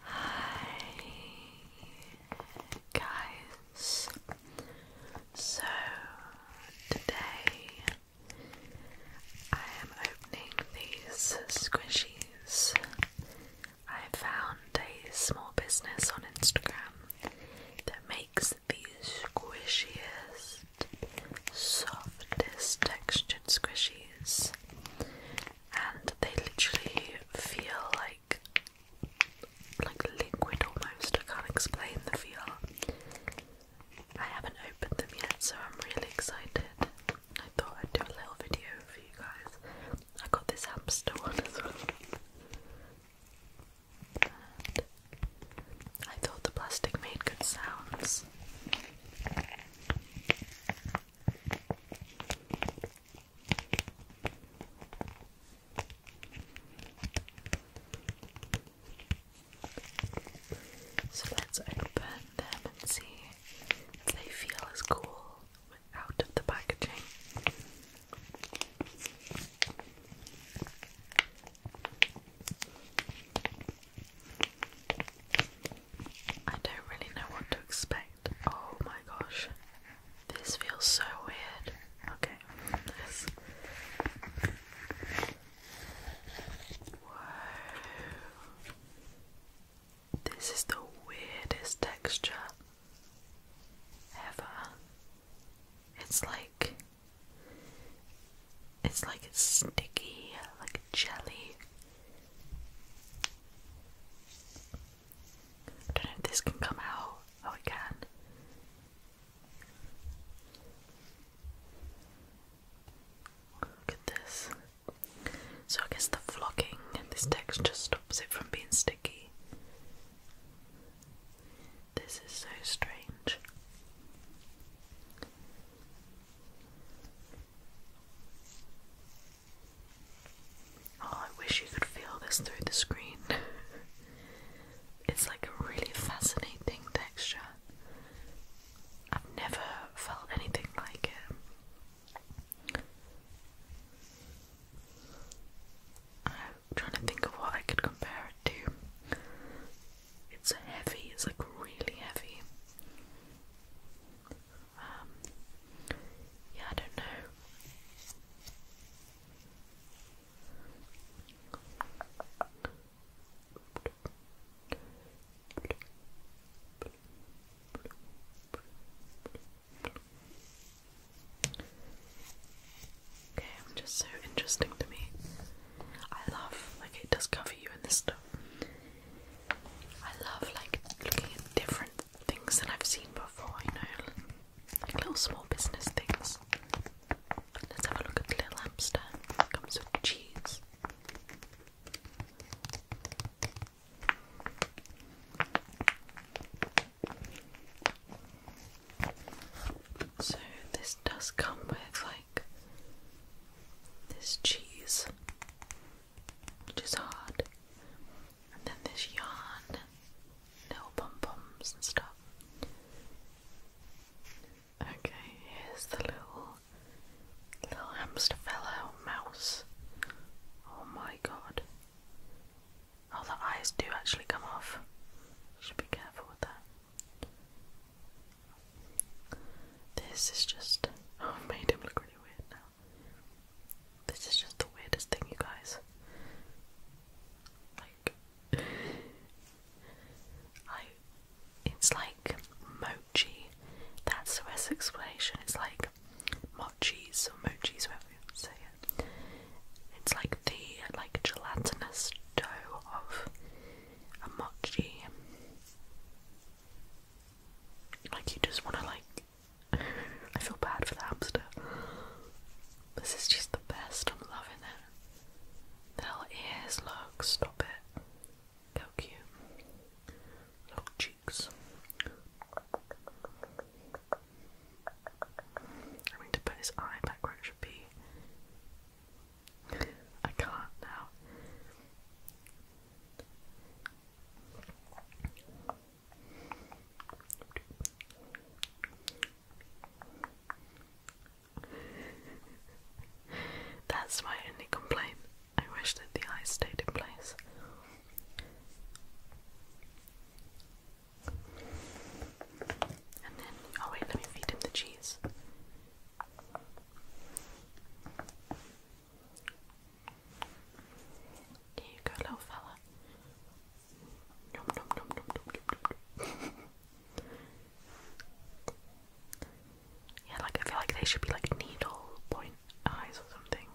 Hi guys. So today I am opening these squishies. I found a small business on Instagram that makes the squishiest, softest textured squishies and they literally feel like like liquid almost. I can't explain the feel. I haven't opened them yet, so I'm really excited. I thought I'd do a little video for you guys. I got this hamster one as well. I thought the plastic made good sounds. So let's open them and see if they feel as cool out of the packaging. I don't really know what to expect. Oh my gosh. This feels so weird. Okay. This. Whoa. This is the weirdest texture ever. It's like. It's like it's sticky, like jelly. I don't know if this can come out. Oh, it can. Look at this. So, I guess the flocking and this texture stops it from being sticky. This is so strange. Oh, I wish you could feel this through the screen. it's like a really fascinating texture. I've never felt anything like it. I'm trying to think of what I could compare it to. It's heavy, it's like really heavy. Um, yeah, I don't know. Okay, I'm just so interesting to me. I love like it does cover you in this stuff. I love like looking at different things than I've seen before, you know, like little small business things. Let's have a look at the little hamster. comes with cheese. So this does come with this cheese, which is hard, and then this yarn, little pom poms and stuff. Okay, here's the little little hamster fellow mouse. Oh my god. Oh, the eyes do actually come off. should be careful with that. This is just. Oh, i made him look really weird now. This is just the weirdest thing, you guys. Like. I. It's like mochi. That's the best explanation. It's like mochis or mochis, whatever you say it. It's like the like gelatinous dough of a mochi. Like you just wanna like I feel bad for the hamster. This is just the best, I'm loving it. The little ears, look, stop it. How cute. Little cheeks. I mean, to put his eye back where it should be. I can't now. That's my only complaint. I wish that the eyes stayed in place. And then, oh wait, let me feed him the cheese. Here little fella. yeah, like I feel like they should be like needle point eyes or something.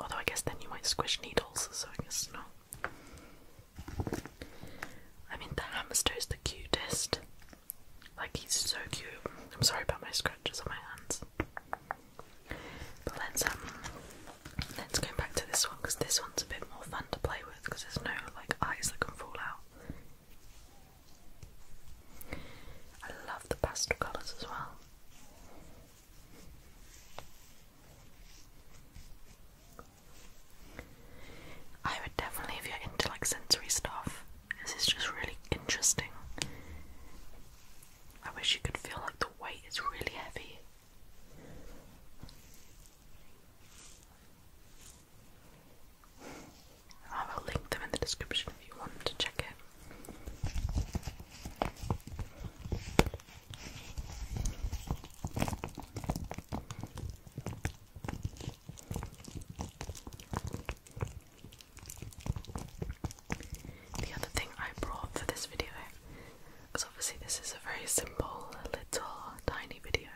Although I guess then you might squish needles, so I guess not. I mean, the hamster is the cutest. Like, he's so cute. I'm sorry about my scratches on my hands. But let's um, let's go back to this one because this one's a bit more fun to play with because there's no like eyes that can fall out. I love the pastel colours as well. I would definitely, if you're into like sensory stuff, this is just really interesting. I wish you could feel like the weight is really heavy. I will link them in the description if you want to check it. The other thing I brought for this video, because obviously this is a very simple, little, tiny video.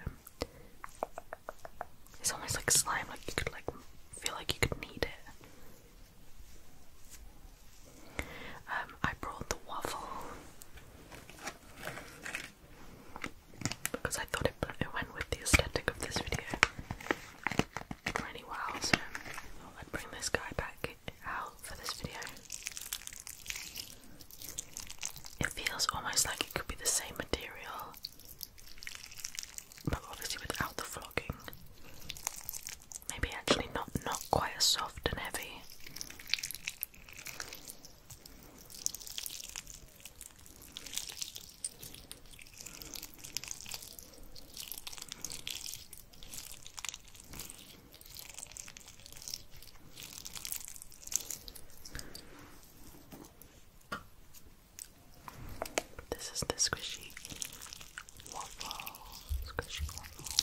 It's almost like slime, like you could like feel like you could knead it. Um, I brought the waffle because I thought it, it went with the aesthetic of this video really well, so I'd bring this guy back out for this video. It feels almost like it could be the same material, but obviously without the vlogging. Maybe actually not not quite as soft and heavy. This is the squishy waffle, squishy waffle.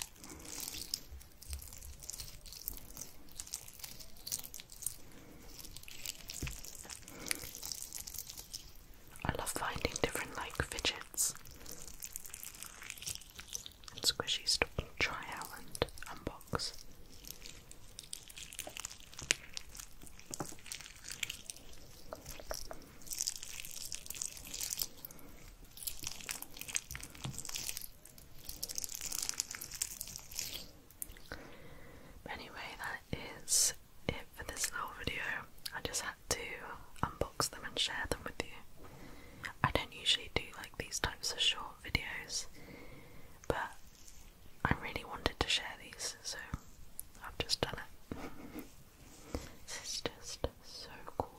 I love finding different like fidgets and squishies to try out and unbox anyway, that is it for this little video. I just had to unbox them and share them with you. I don't usually do like these types of short videos, but I really wanted to share these, so I've just done it. This is just so cool.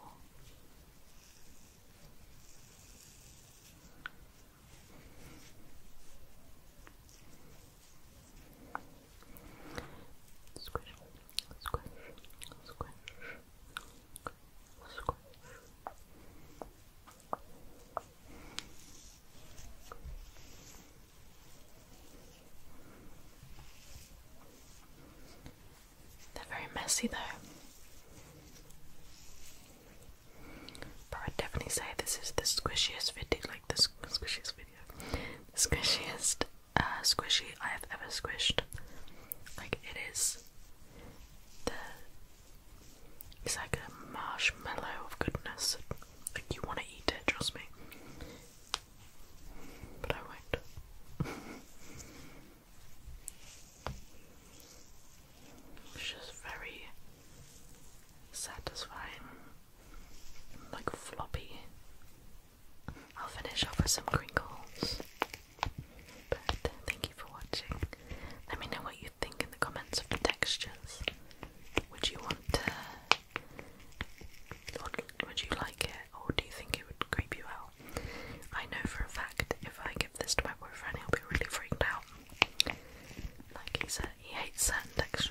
Squish, squish, squish, squish. They're very messy though. But I'd definitely say this is the squishiest video, like the squishiest video, the squishiest uh, squishy I have ever squished. Like it is the, it's like a marshmallow of goodness. Like, you want to eat it, trust me. But I won't. it's just very satisfying. Like, floppy. I'll finish off with some crinkles. But thank you for watching. Let me know what you think in the comments of textures. Would you want to? Would you like it, or do you think it would creep you out? I know for a fact if I give this to my boyfriend, he'll be really freaked out. Like he said, he hates certain textures.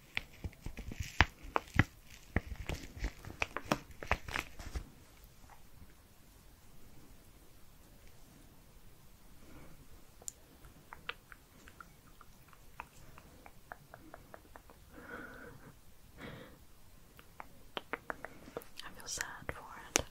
I feel sad for it.